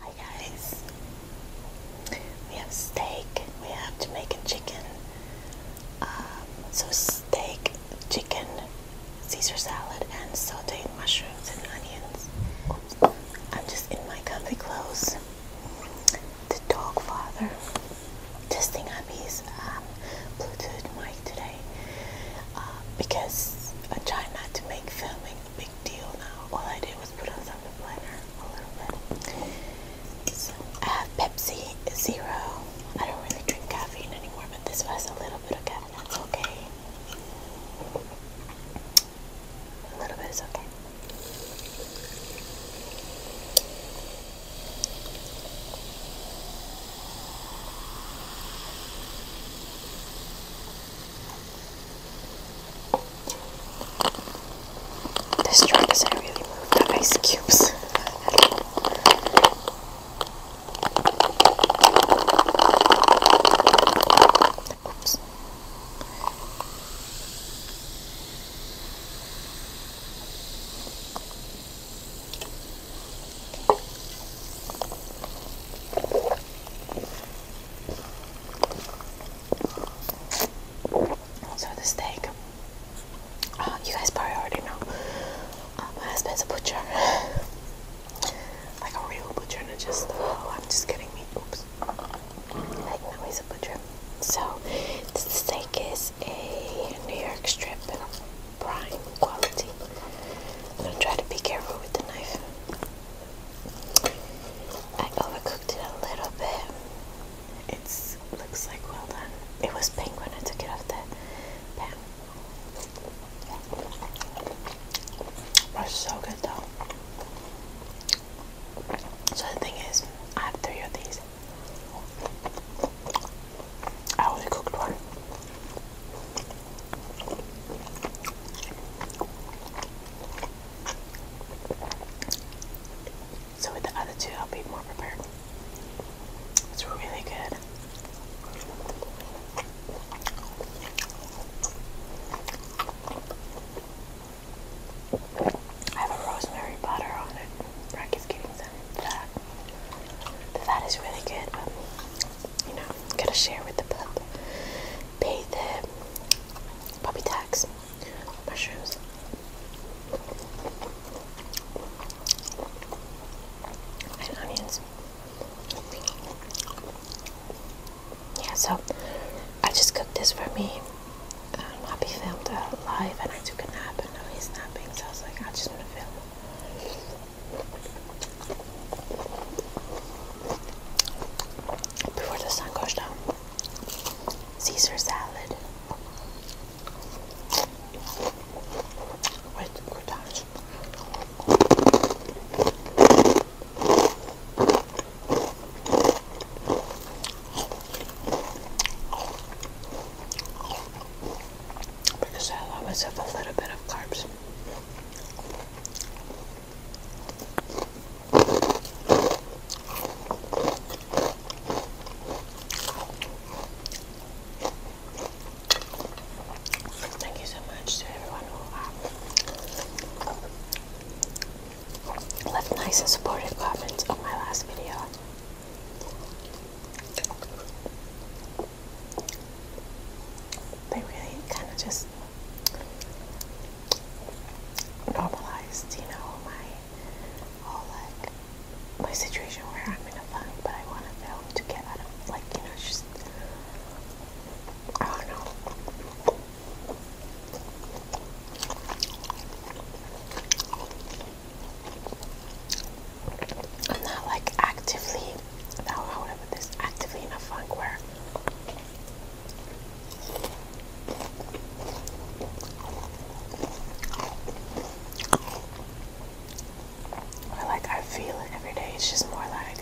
Hi guys, we have steak, we have Jamaican chicken, um, so steak, chicken, Caesar salad and sauteed mushrooms and onions. I'm just in my comfy clothes. The dog father testing out his um, Bluetooth mic today. Uh, because I try not to make filming a big deal now. All I did was put on some planner a little bit. So I have Pepsi Zero. I don't really drink caffeine anymore, but this was a little bit of caffeine. That's okay. A little bit is okay. This jar doesn't really move the ice cubes. Oops. So the steak, uh, you guys probably already know, my husband's a butcher, like a real butcher, not just, oh, I'm just getting meat, oops, like no he's a butcher. So this steak is a New York strip prime quality. gonna try to be careful with the knife. I overcooked it a little bit. It looks like well done. It was pink when I took it off the pan. so good though. So the thing is, I have three of these. I only cooked one. So with the other two, I'll be more prepared. It's really good. I have a rosemary butter on it than the fat. is really good, but you know, gotta share with the pup. Pay the puppy tax. Mushrooms. And onions. Yeah, so I just cooked this for me. Um, Poppy filmed a live and I took a nap and now he's napping, so I was like, I just want to film. Before the sun goes down, Caesar salad with croutons because I always have a little bit of carbs. Thank you so much to everyone who uh, left nice and supportive comments on my last video. They really kind of just normalized, you know, my whole like my situation where I'm in a funk, but I want to film to get out of, like, you know, just I don't know. I'm not like actively, how would put this? Actively in a funk where or like I feel it every day. It's just more like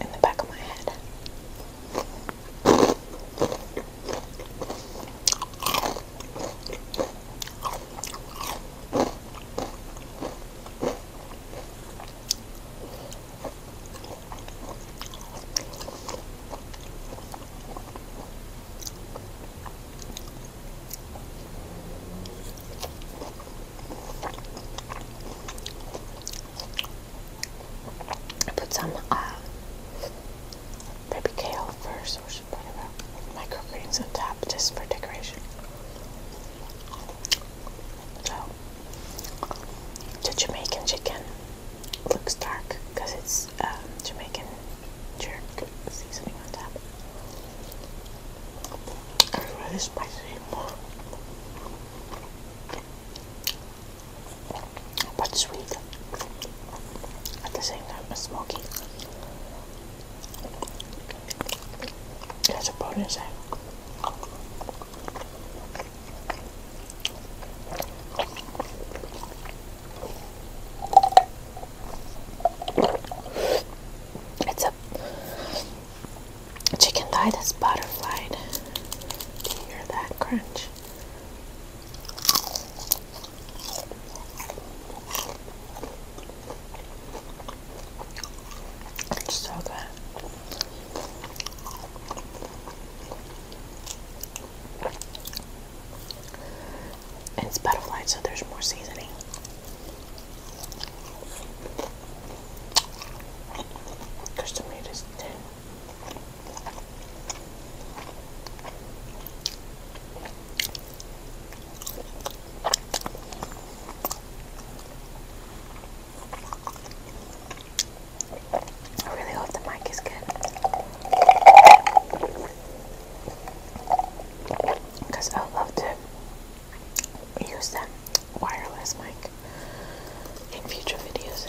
in the back of my head. I put some uh, baby kale first microgreens on top just for decoration. So, the Jamaican chicken looks dark because it's um, Jamaican jerk seasoning on top. really spicy. But sweet at the same time as smoking. That's a bonus. Eh? It's a chicken thigh that's butterflied. hear that crunch? so good. It's butterfly, so there's more seasoning. Custom made is thin. I really hope the mic is good because I would love to use that wireless mic in future videos.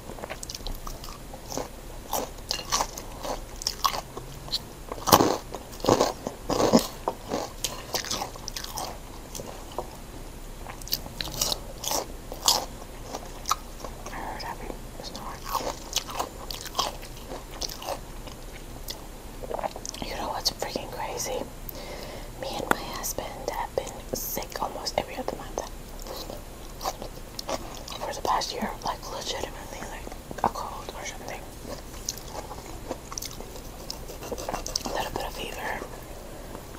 I heard Abby snoring. You know what's freaking crazy? Me and my husband have been sick almost every other month for the past year, like legitimately, like a cold or something, a little bit of fever,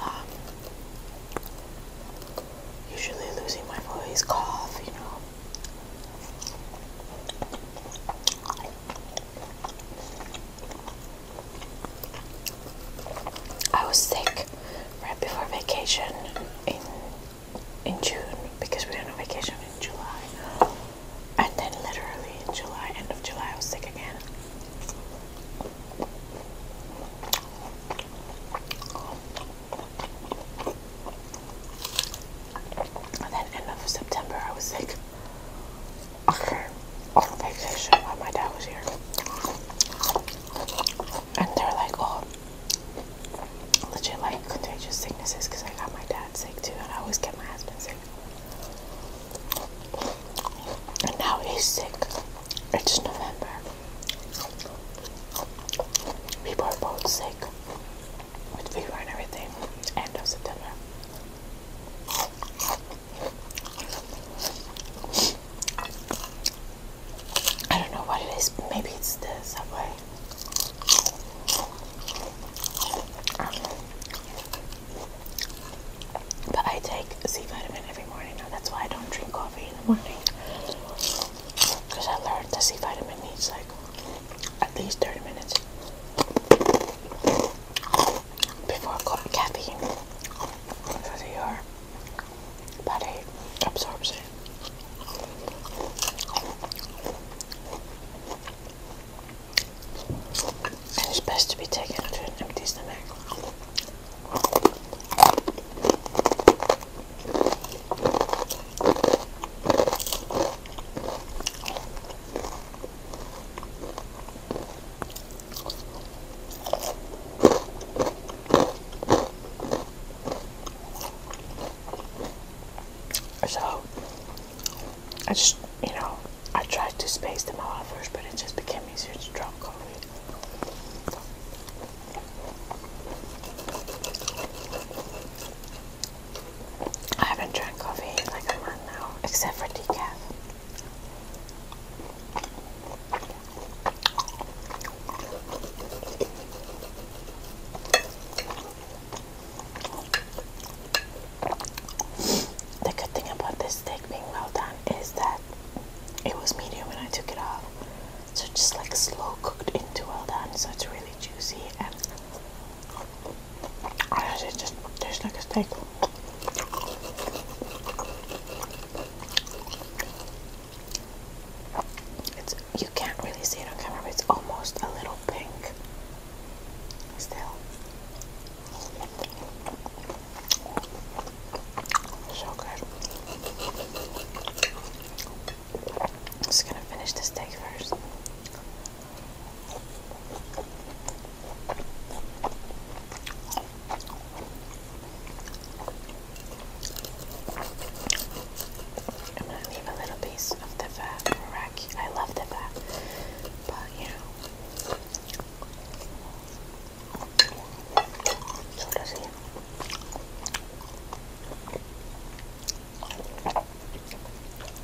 um, usually losing my voice, cough, you know. I was sick right before vacation in in June because we were on vacation in July, and then literally in July, end of July, I was sick again. And then end of September, I was sick. Okay, on vacation while my dad was here. And they're like, oh, legit like contagious sicknesses because I got my dad sick too, and I always get my husband sick. And now he's sick. It's November. People are both sick with fever and everything. End of September. I don't know what it is. Maybe it's the subway. but I take C vitamin every morning now. That's why I don't drink coffee in the morning. Because I learned the C vitamin needs like at least 30 minutes before caffeine because your body absorbs it. it's best to be taken to an empty stomach. So I just, you know, I tried to space them out first, but it just became easier to drop coffee. I haven't drank coffee in like a month now, except for decaf. The good thing about this steak being well done is that it was medium when I took it off, so just like slow cooked into well done, so it's really juicy and honestly, just tastes like a steak you can't really see it on camera, but it's almost a little pink still. So good. just gonna finish this steak first. I'm gonna leave a little piece of the fat I love the fat, but you know, so does he.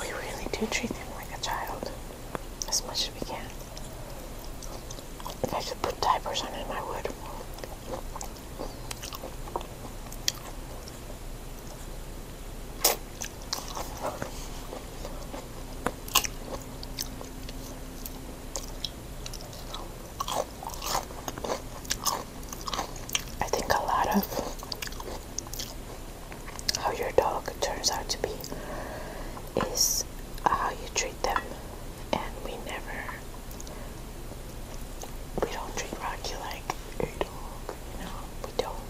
We really do treat him like a child as much as we can. If I could put diapers on him, I would. I think a lot of how your dog turns out to be is uh, how you treat them, and we never, we don't treat Rocky like a dog, you we don't.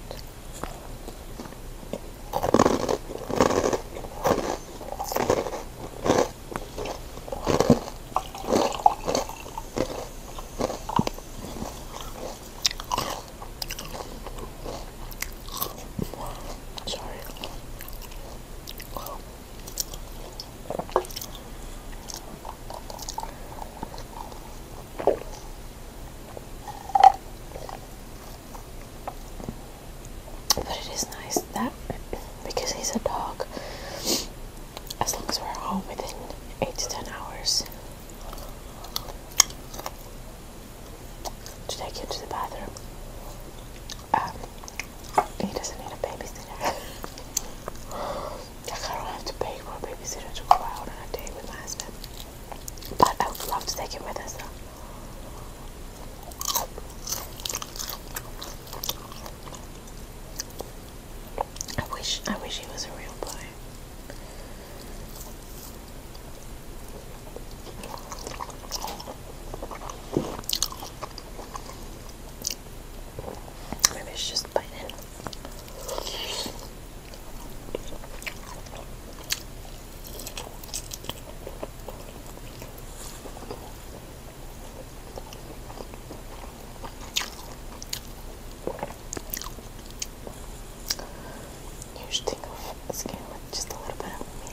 Sorry. But it is nice that because he's a dog, as long as we're home within eight to ten hours to take him to the bathroom. Um, he doesn't need a babysitter. I don't have to pay for a babysitter to go out on a date with my husband. But I would love to take him with us. I wish I wish he was a real boy. Maybe it's just biting. You should think of skin with just a little bit of me.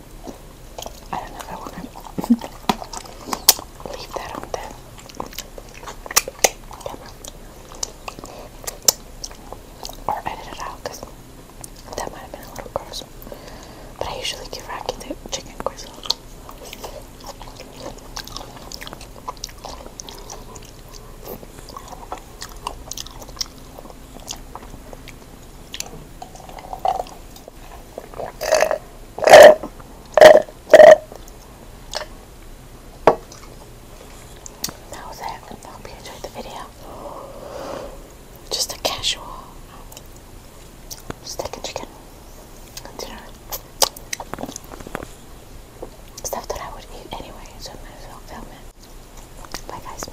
I don't know if I want to leave that on there. Or edit it out because that might have been a little gross. But I usually give Rocky the chicken gristle. That was it. hope you enjoyed the video. Just a casual steak and chicken dinner. Stuff that I would eat anyway, so I might as well film it. Bye guys.